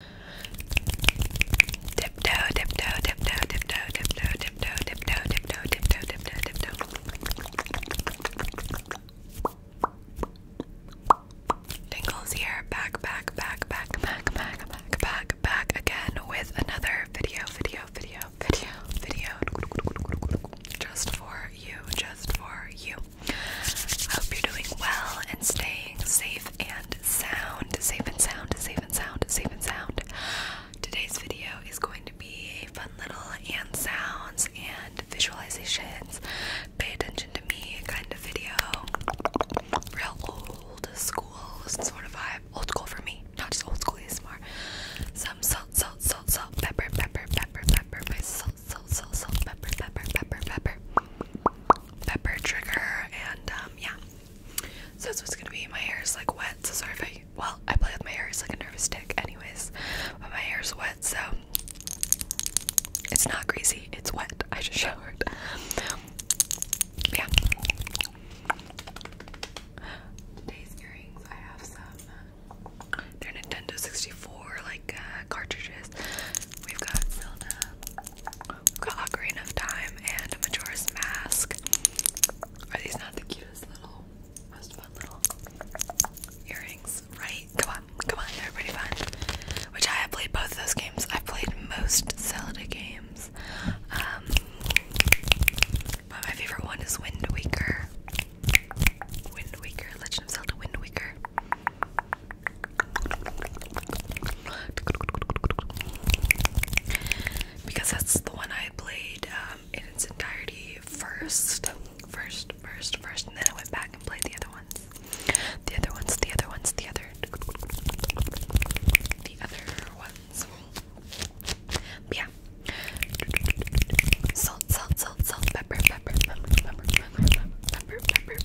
Dip dip dip dip dip dip dip Tiptoe, dip tiptoe, dip tiptoe, dip tiptoe, dip tiptoe, dip tiptoe. Tingles here, back, back, back, back, back, back, back, back, back again with another video, video, video, video, video. Just for you, just for you. I hope you're doing well and staying safe and and sound, safe and sound, safe and sound, safe and sound. Today's video is going to be a fun little hand sounds and visualizations, pay attention to me kind of video. Real old school sort of vibe. Old school for me, not just old school ASMR. Some salt, salt, salt, salt, pepper, pepper, pepper, pepper, my salt, salt, salt, salt, pepper, pepper, pepper, pepper pepper trigger, and um, yeah. So that's what's gonna be. My hair is like wet, so sorry if I. Well, I play with my hair, it's like a nervous tick, anyways. But my hair's wet, so it's not greasy, it's wet. I just showered. Yeah. Today's earrings, I have some. They're uh, Nintendo 64, uh, cartridges. We've got Zelda, we've got Ocarina of Time, and Majora's Mask. Are these not the cutest little, most fun little earrings? Right? Come on, come on, they fun. Which I have played both those games. i played most Zelda games. Um, but my favorite one is Wind Waker. Wind Waker, Legend of Zelda Wind Waker. Because that's the one I played um, in its entirety first. First, first, first, and then I went back and played the other ones. The other ones, the other ones, the other. The other ones. But yeah. Salt, salt, salt, salt, pepper, pepper, pepper, pepper, pepper, pepper, pepper,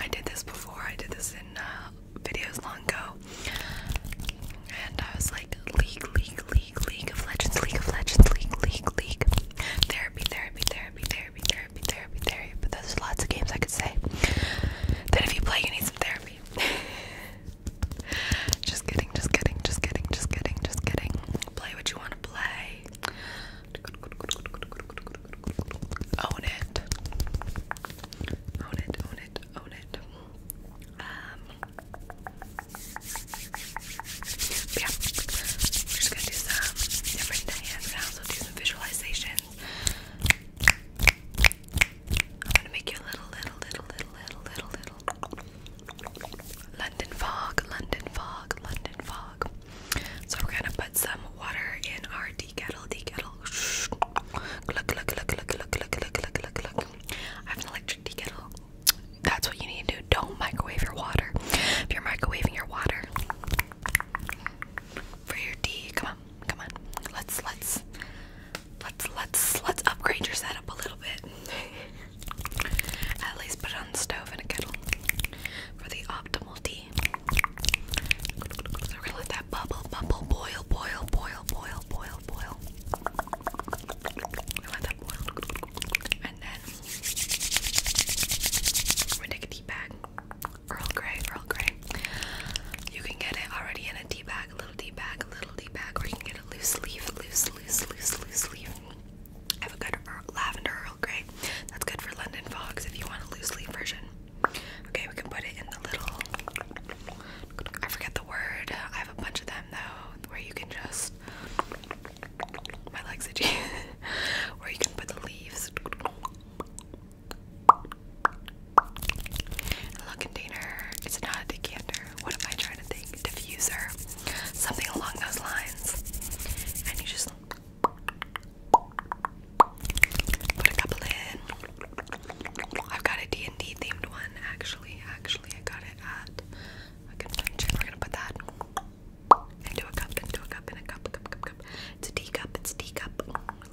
I did this before. I did this in uh, videos long ago, and I was like, league, league, league, league of legends, league of legends, league, league, league. Therapy, therapy, therapy, therapy, therapy, therapy, therapy. But there's lots of games I could say that if you play, you need some therapy. just kidding, just kidding, just kidding, just kidding, just kidding. Play what you want to play. Own it. Own it, own it, own it. Um yeah. We're just gonna do some different hand sounds, we'll do some visualizations. I'm gonna make you a little, little, little, little, little, little, little. London fog, London fog, London fog dog. So we're gonna put some water in our tea kettle, tea kettle. Shh. Look, look, look, look, look, look, look, look, look, look. I have an electric tea kettle. That's what you need to do. Don't microwave your water. If you're microwaving your water for your tea, come on, come on. Let's let's let's let's let's upgrade your setup a little bit. At least put on the stove and a kettle for the optimal tea. So we're gonna let that bubble, bubble, boil, boil, boil, boil, boil, boil. We're gonna let that boil. And then we take a tea bag. Earl Grey, Earl Grey. You can get it already in a tea bag, a little tea bag, a little tea bag, or you can get a loose leaf, loose, loose, loose, loose leaf. I have a good lavender Earl Grey. That's good for London Fogs if you want a loose leaf version. Okay, we can put it in the little. I forget the word. I have a bunch of them though, where you can just. My legs itchy. where you can put the leaves. A container. It's not a decanter what am I trying to think? Diffuser. Something along those lines. And you just put a couple in. I've got a and d themed one actually. Actually, I got it at a convention. We're gonna put that into a cup, into a cup, in a cup, cup, cup, cup. It's a tea cup, it's a tea cup.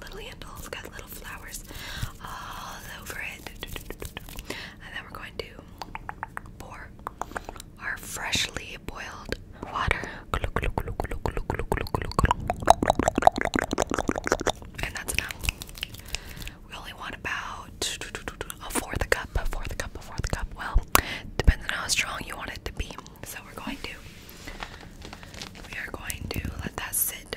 Little handles, got little flowers all over it. And then we're going to pour our freshly boiled water. And that's enough. We only want about a fourth cup, a fourth cup, a fourth cup. Well, depends on how strong you want it to be. So we're going to we are going to let that sit.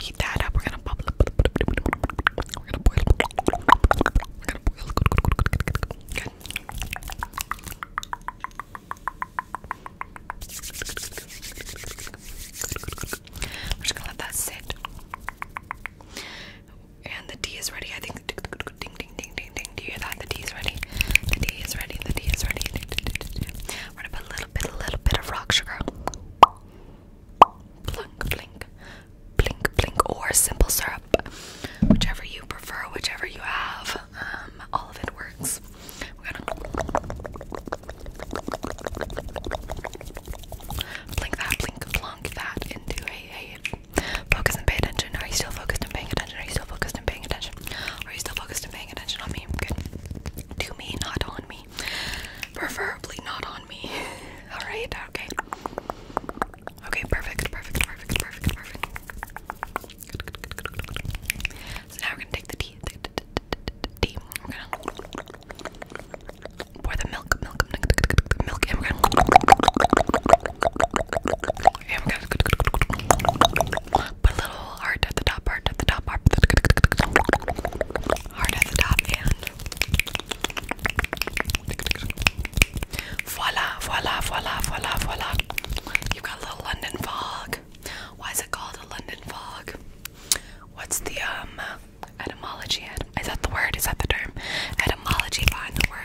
heat that up. We're gonna bubble up. We're gonna boil. We're gonna boil. Good, good, good, good, good, good. Good. We're just gonna let that sit. And the tea is ready. I think. Ding, ding, ding, ding, ding. Do you hear that? The tea is ready. The tea is ready. The tea is ready. We're gonna put a little bit, a little bit of rock sugar. Plunk, blink, blink, blink, or simple syrup. Whichever you prefer, whichever you have, um, all of it works. are gonna blink that, blink, plunk that into a, focus and pay attention. Are you still focused and paying attention? Are you still focused and paying attention? Are you still focused and paying attention on me? Good. To me, not on me. Preferably not on me. Alright, okay. Okay, perfect, perfect, perfect, perfect, perfect. So now we're gonna take the tea. tea. We're gonna pour the milk, milk, milk, And we're gonna put a little heart at the top, heart at the top, heart. Hard at the top and voila, voila, voila, voila, voila. you got a little London fog. Why is it called a London fog? What's the um etymology? Is that the word? Is that the term? Etymology behind the word.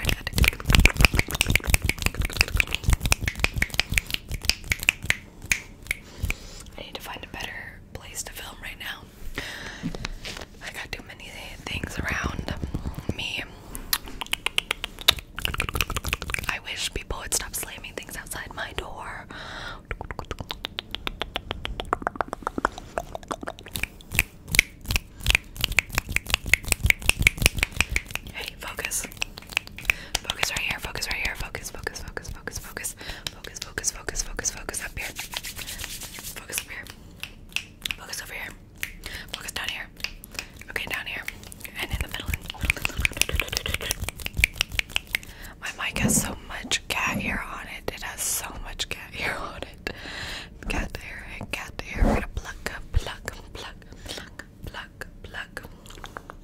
I need to find a better place to film right now. I got too many things around me. I wish people would stop slamming things outside my door. Hey, focus. Focus right here, focus right here, focus, focus, focus, focus, focus, focus, focus, focus, focus, focus up here. Focus up here. Focus over here. Focus down here. Okay, down here. And in the middle. My mic has so much cat hair on it. It has so much cat hair on it. Cat hair and cat hair. We're gonna pluck, pluck, pluck, pluck, pluck, pluck.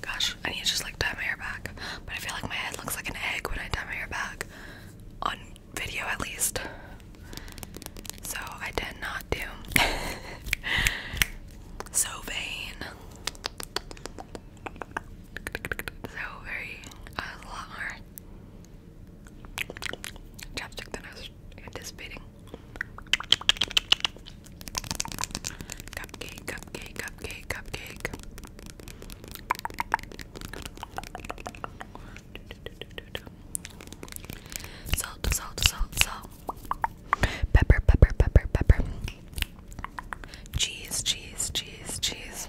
Gosh, I need to just like tie my hair back. But I feel like my head looks like an egg when I tie my hair back. On video at least. So I did not do. so vain. So very, uh, a lot more Chopstick, that I was anticipating. Cupcake, cupcake, cupcake, cupcake. Salt, salt, salt, salt. Pepper, pepper, pepper, pepper. Cheese, cheese, cheese, cheese.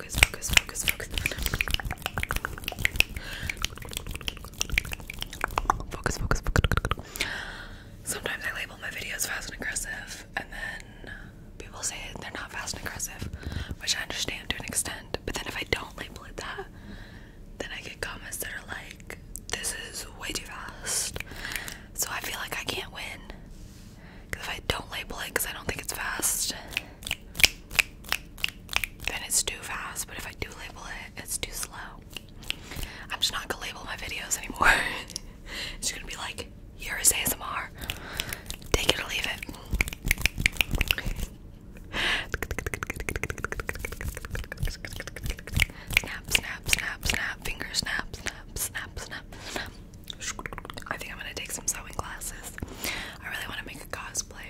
focus, focus, focus, focus. Focus, focus, focus. Sometimes I label my videos fast and aggressive, and then people say they're not fast and aggressive, which I understand to an extent. But then if I don't label it that, then I get comments that are like, this is way too fast. So I feel like I can't win. Because if I don't label it because I don't think it's fast, then it's too fast. But if I do label it, it's too slow. I'm just not gonna label my videos anymore. it's gonna be like here is ASMR. Take it or leave it. Snap, snap, snap, snap, finger snap, snap, snap, snap, snap. I think I'm gonna take some sewing classes. I really want to make a cosplay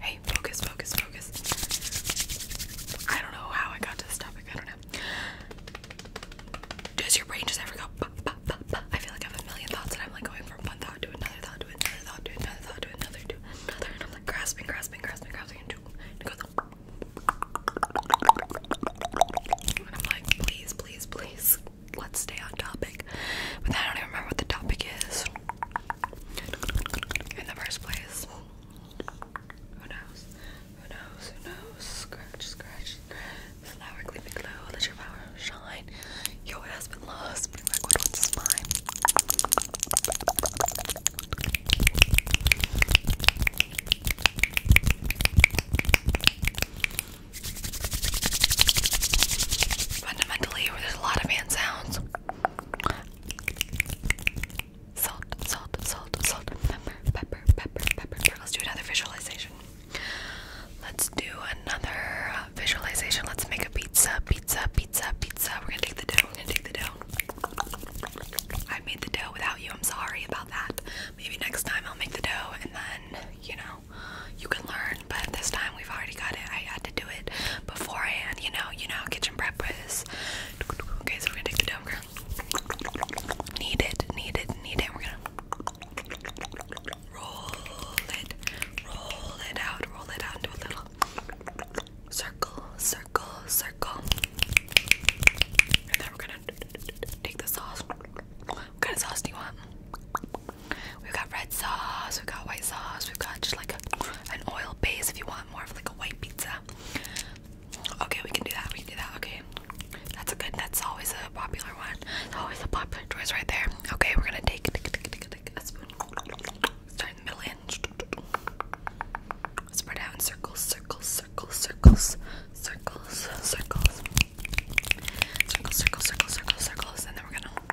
Hey, focus, focus, focus. I don't know how I got to this topic. I don't know. Does your brain just ever go? Bah, bah, bah, bah? I feel like I have a million thoughts, and I'm like going from one thought to another thought to another thought to another thought to another to another, and I'm like grasping, grasping, grasping, grasping, and it goes. And I'm like, please, please, please, let's stay on topic. But then I don't even remember what the topic is in the first place. Who knows? Who knows? Who knows? Scratch, scratch. Flower, gleaming glow. Let your power shine. Yo, it has been lost. Bring back what once is mine. Fundamentally, we're a lot of hand sounds. Salt, salt, salt, salt, pepper, pepper, pepper, pepper. Let's do another visualization. Let's do another uh, visualization. Let's make a pizza, pizza, pizza, pizza. We're gonna take the dough, we're gonna take the dough. I made the dough without you, I'm sorry about that. Maybe next time I'll make the dough and then, you know, you can learn, but this time we've already got it. I had to do it beforehand, you know, you know kitchen prep is. Okay, so we're gonna take the dough, girl. Knead it, knead it, knead it. We're gonna roll it, roll it out, roll it out into a little circle, circle, circle. And then we're gonna take the sauce. What kind of sauce do you want? We've got red sauce, we've got white sauce, we've got just like an oil base if you want more of like a white pizza. Okay, we can do that, we can do that, okay. That's a good, that's always a popular one. It's always a popular choice right there. Okay, we're gonna take, a spoon. Start in spread out in circles, circles, circles, circles, circles, circles. Circles, circles, circles, circles, circles, and then we're gonna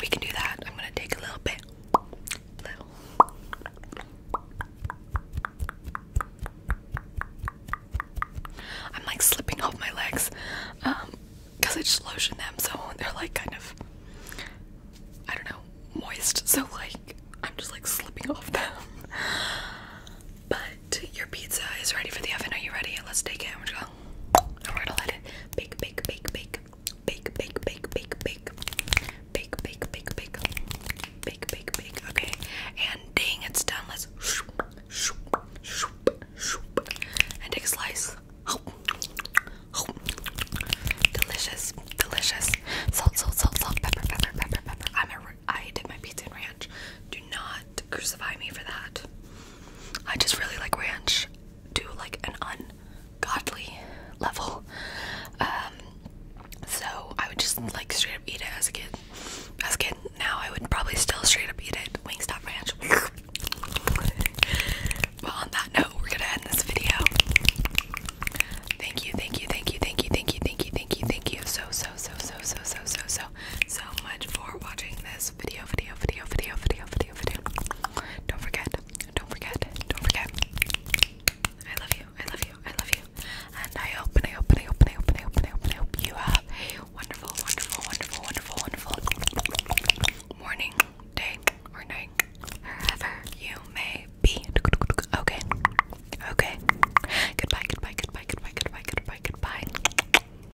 We can do that. I'm gonna take a little bit. I'm like slipping off my legs um, because I just lotion them, so they're like kind of, I don't know, moist. So like, I'm just like slipping off them. But your pizza is ready for the oven. Are you ready? Let's take it. I'm just yeah. And we're gonna let it bake, bake, bake, bake, bake, bake, bake, bake, bake, bake, bake, bake, bake, bake, bake, bake. Okay. And dang, it's done. Let's shoop, shoop, shoop, shoop, and take a slice. Oh, oh, delicious, delicious. Salt, salt, salt, salt, pepper, pepper, pepper, pepper. I'm a. I did my pizza and ranch. Do not crucify me for that. I just really like ranch to like an ungodly level. Um, so I would just like straight up eat it as a kid. As a kid, now I would probably still straight up eat it. Wingstop Ranch. well, on that note, we're gonna end this video. Thank you, thank you, thank you, thank you, thank you, thank you, thank you, thank you so so so so so so so so so much for watching this video, video, video, video, video, video, video. Don't forget, don't forget, don't forget. I love you, I love you, I love you. And I hope, and I hope, and I hope, and I hope, and I hope, and I hope, and I hope you have a wonderful, wonderful, wonderful, wonderful, wonderful morning, day, or night, wherever you may be. Okay, okay. Goodbye, goodbye, goodbye, goodbye, goodbye, goodbye, goodbye.